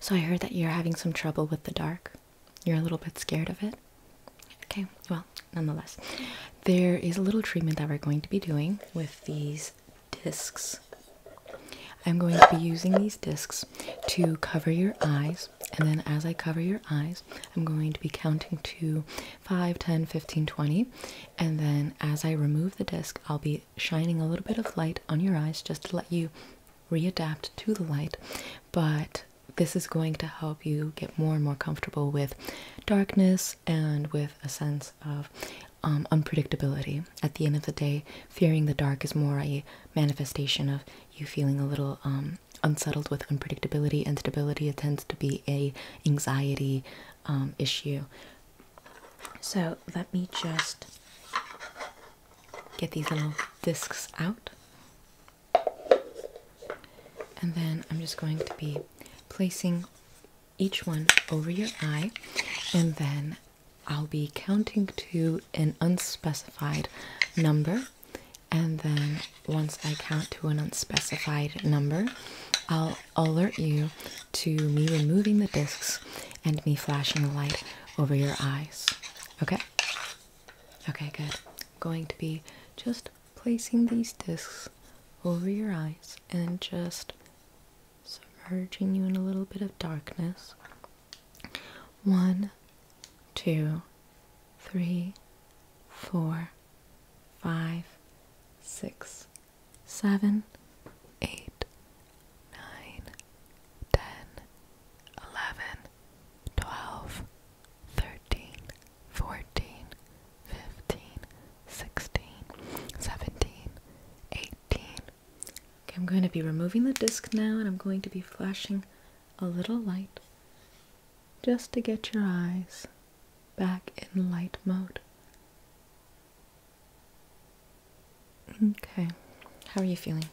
So I heard that you're having some trouble with the dark. You're a little bit scared of it. Okay, well, nonetheless, there is a little treatment that we're going to be doing with these discs. I'm going to be using these discs to cover your eyes, and then as I cover your eyes, I'm going to be counting to five, ten, fifteen, twenty, and then as I remove the disc, I'll be shining a little bit of light on your eyes just to let you readapt to the light, but this is going to help you get more and more comfortable with darkness and with a sense of um, unpredictability. At the end of the day, fearing the dark is more a manifestation of you feeling a little um, unsettled with unpredictability. and stability. it tends to be a anxiety um, issue. So let me just get these little discs out. And then I'm just going to be placing each one over your eye, and then I'll be counting to an unspecified number. And then once I count to an unspecified number, I'll alert you to me removing the discs and me flashing the light over your eyes. Okay? Okay, good. I'm going to be just placing these discs over your eyes and just submerging you in a little bit of darkness. One, two, three, four, five, six, seven, eight, nine, ten, eleven, twelve, thirteen, fourteen, fifteen, sixteen, seventeen, eighteen. Okay, I'm going to be removing the disc now and I'm going to be flashing a little light just to get your eyes back in light mode. Okay. How are you feeling?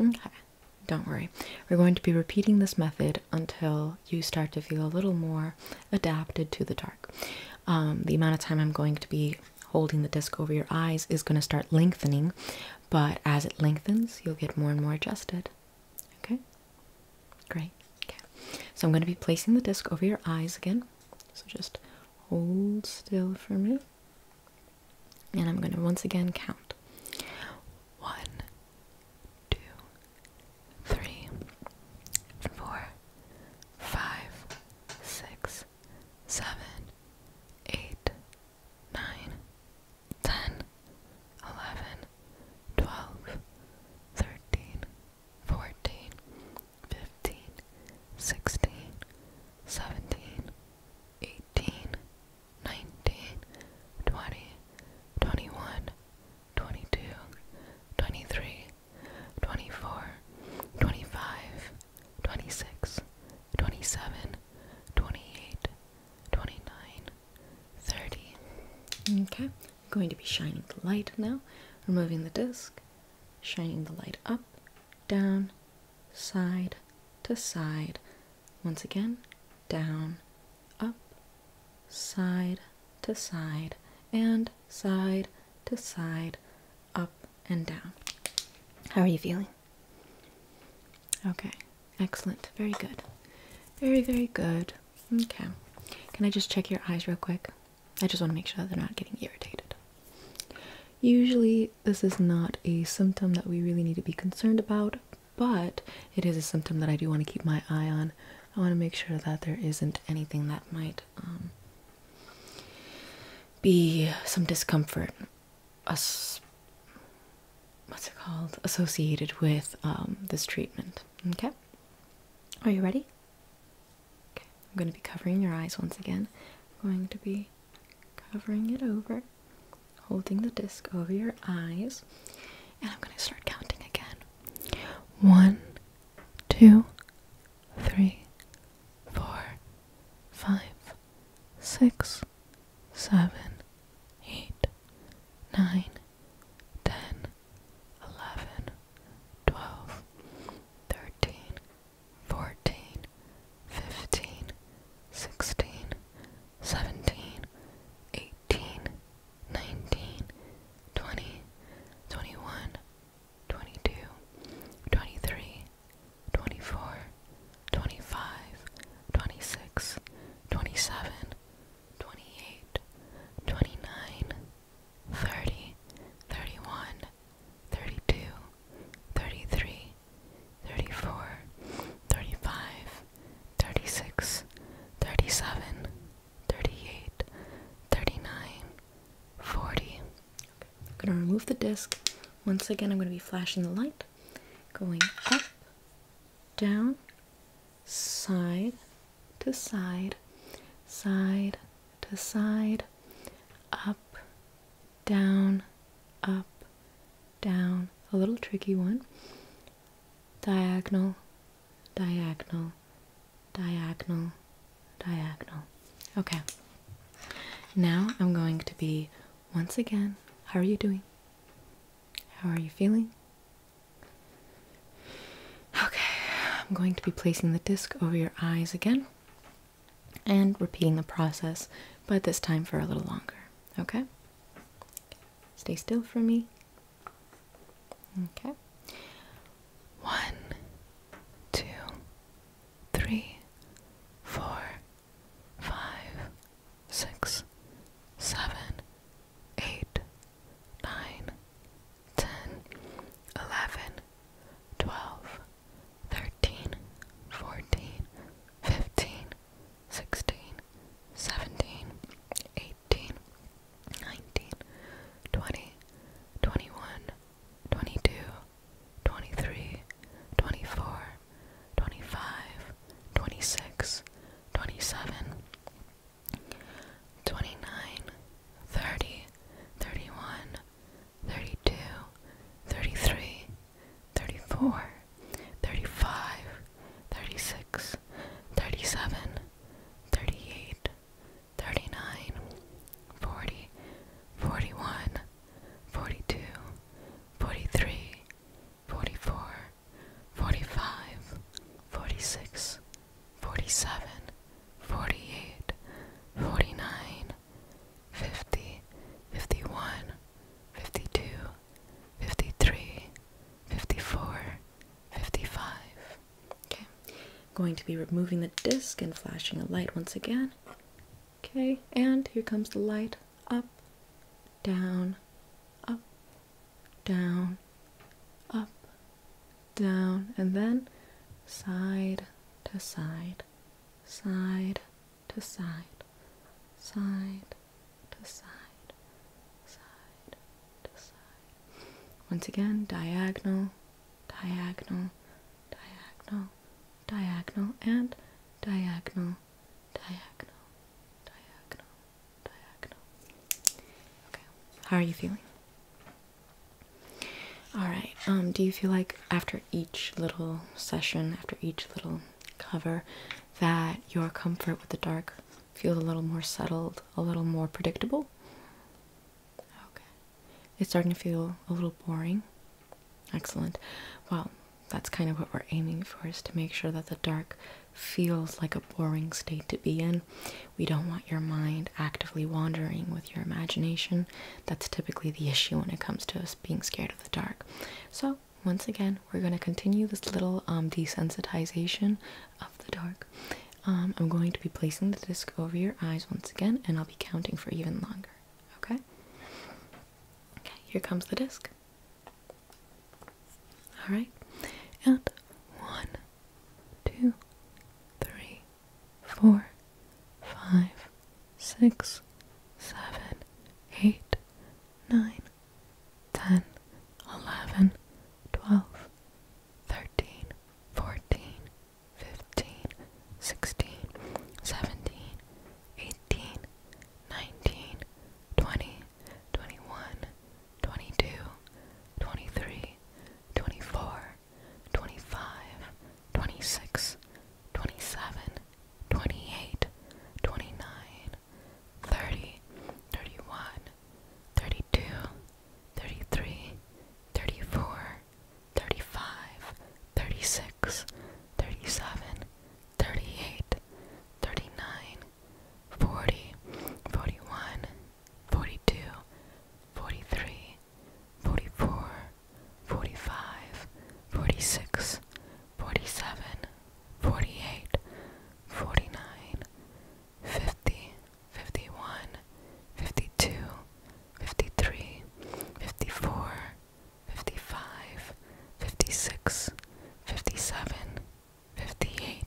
Okay. Don't worry. We're going to be repeating this method until you start to feel a little more adapted to the dark. Um, the amount of time I'm going to be holding the disc over your eyes is going to start lengthening, but as it lengthens, you'll get more and more adjusted. Okay? Great. Okay. So I'm going to be placing the disc over your eyes again. So just Hold still for me. And I'm going to once again count. One, two, three, four, five, six, seven, eight, nine, ten, eleven, twelve, thirteen, fourteen, fifteen, sixteen, seventeen, eighteen, nineteen, twenty, twenty-one, twenty-two, twenty-three, twenty-four, twenty-five, twenty-six, twenty-seven, twenty-eight, twenty-nine, thirty. Okay, I'm going to be shining the light now, removing the disc shining the light up, down, side to side. Once again, down, up, side to side, and side to side, up and down. How are you feeling? Okay, excellent. Very good. Very, very good. Okay. Can I just check your eyes real quick? I just want to make sure that they're not getting irritated. Usually, this is not a symptom that we really need to be concerned about, but it is a symptom that I do want to keep my eye on. I want to make sure that there isn't anything that might um, be some discomfort. As what's it called? Associated with um, this treatment. Okay? Are you ready? I'm going to be covering your eyes once again. I'm going to be covering it over, holding the disc over your eyes, and I'm going to start counting again. One, two, three, four, five, six, seven, eight, nine, ten, eleven, twelve, thirteen fourteen, fifteen, sixteen, seventeen, eighteen, nineteen, twenty, twenty-one, twenty-two, twenty-three, twenty-four, twenty-five, twenty-six, twenty-seven, twenty-eight, twenty-nine, thirty, thirty-one. 32, 33, 34, 35, 36, 37, 38, 39, 40. Okay. I'm going to remove the disc. Once again, I'm going to be flashing the light, going up, down, side to side, side to side, up, down, up, down, a little tricky one, diagonal, diagonal, diagonal, diagonal. Okay, now I'm going to be once again. How are you doing? How are you feeling? Okay, I'm going to be placing the disc over your eyes again and repeating the process, but this time for a little longer. Okay? Stay still for me. Okay. One, two, three, four, five, six, seven, eight, nine, ten, eleven, twelve, thirteen, fourteen, fifteen, sixteen, seventeen, eighteen, nineteen, twenty, twenty-one, twenty-two, twenty-three, twenty-four, twenty-five, twenty-six, twenty-seven. 29, 30, 31, 32, 33, 34, 35, 36, 37, 38, 39, 40, 41, 42, 43, 44, 45, 46, 47, 48, 49, 50, 51, 52, 53, 54, 55. Okay, going to be removing the disc and flashing a light once again. Okay, and here comes the light up, down, up, down, up, down, and then side to side, side to side, side to side, side to side. Once again, diagonal, diagonal, diagonal, diagonal, and diagonal, diagonal, diagonal, diagonal. Okay, how are you feeling? All right. Um, do you feel like after each little session, after each little cover, that your comfort with the dark feels a little more settled, a little more predictable? Okay. It's starting to feel a little boring. Excellent. Well, that's kind of what we're aiming for is to make sure that the dark feels like a boring state to be in we don't want your mind actively wandering with your imagination. That's typically the issue when it comes to us being scared of the dark. So, once again, we're going to continue this little um, desensitization of the dark. Um, I'm going to be placing the disc over your eyes once again, and I'll be counting for even longer. Okay? Okay, here comes the disc. Alright, and one, two, three, four, five, six, seven, eight, nine, ten, eleven, twelve, thirteen, fourteen, fifteen, sixteen, seventeen, eighteen, nineteen, twenty, twenty-one, twenty-two, twenty-three, twenty-four. Twenty-five, twenty-six, twenty-seven, twenty-eight, twenty-nine, thirty, thirty-one, thirty-two, thirty-three, thirty-four, thirty-five, thirty-six, thirty-seven, thirty-eight, thirty-nine, forty, forty-one, forty-two. 43, 44, 45, 46, 47, 48, 49, 50, 51, 52, 53, 54, 55, 56, 57, 58,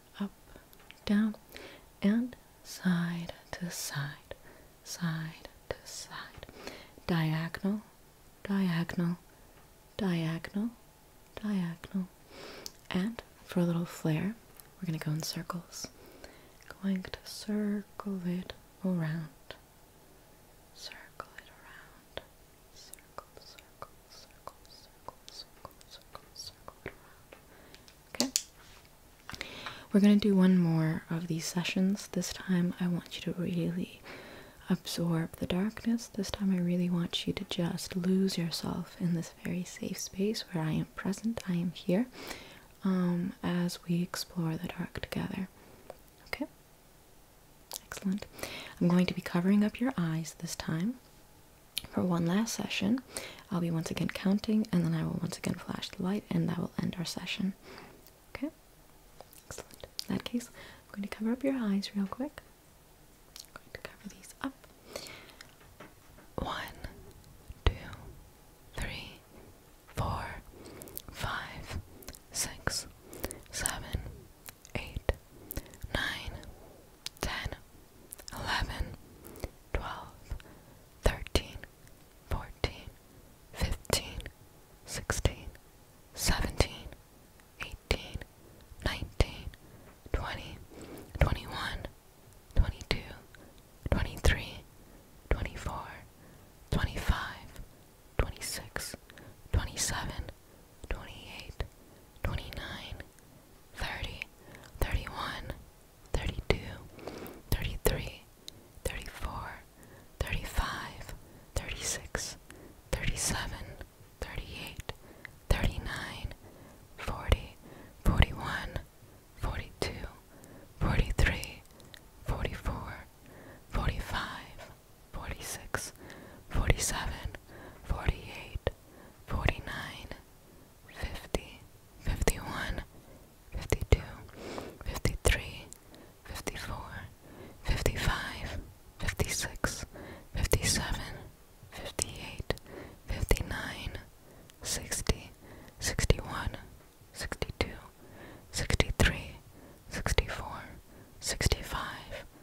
up, down, and side to side, side to side, diagonal, diagonal, diagonal, diagonal. And for a little flare, we're going to go in circles. Going to circle it around, circle it around, circle, circle, Okay? We're going to do one more of these sessions. This time I want you to really absorb the darkness. This time I really want you to just lose yourself in this very safe space where I am present, I am here, as we explore the dark together. Okay? Excellent. I'm going to be covering up your eyes this time for one last session. I'll be once again counting and then I will once again flash the light and that will end our session. Okay? Excellent. In that case, I'm going to cover up your eyes real quick. I'm going to cover these up. One, two, three, four, five, six, seven, eight, nine, ten, 11, 12, 13, 14, 15, 16, 17, 18, 19, 20, 21, 22, 23, 24, 25, 26, 27, 28, 29, 30, 31, 32, 33, 34, 35, 36, 37, 38, 39, 40, 41, 42, 43, 44, 45, 46, 47, 48, 49, 50, 51, 52, 53, 54, 55, 56, 57, 58, 59, 60, 61, 62, 63, 64, 65,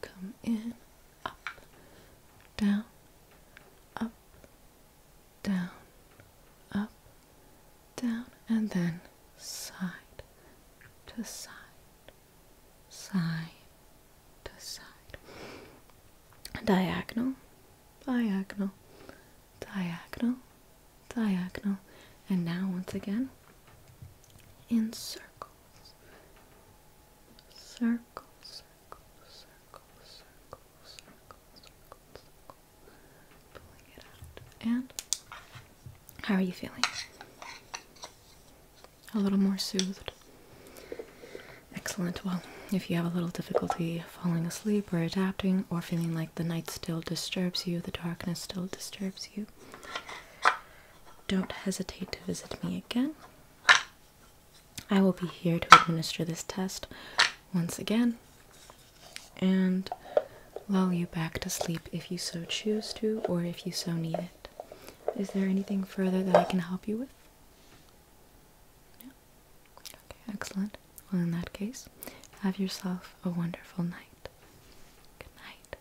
come in, up, down, up, down, up, down, and then side to side, side to side, diagonal, diagonal, diagonal, diagonal, and now once again in circle, circle, circle, circle, circle, circle, circle, circle. Pulling it out. And how are you feeling? A little more soothed. Excellent. Well, if you have a little difficulty falling asleep or adapting or feeling like the night still disturbs you, the darkness still disturbs you, don't hesitate to visit me again. I will be here to administer this test once again and lull you back to sleep if you so choose to or if you so need it. Is there anything further that I can help you with? No? Okay, excellent. Well, in that case, have yourself a wonderful night. Good night.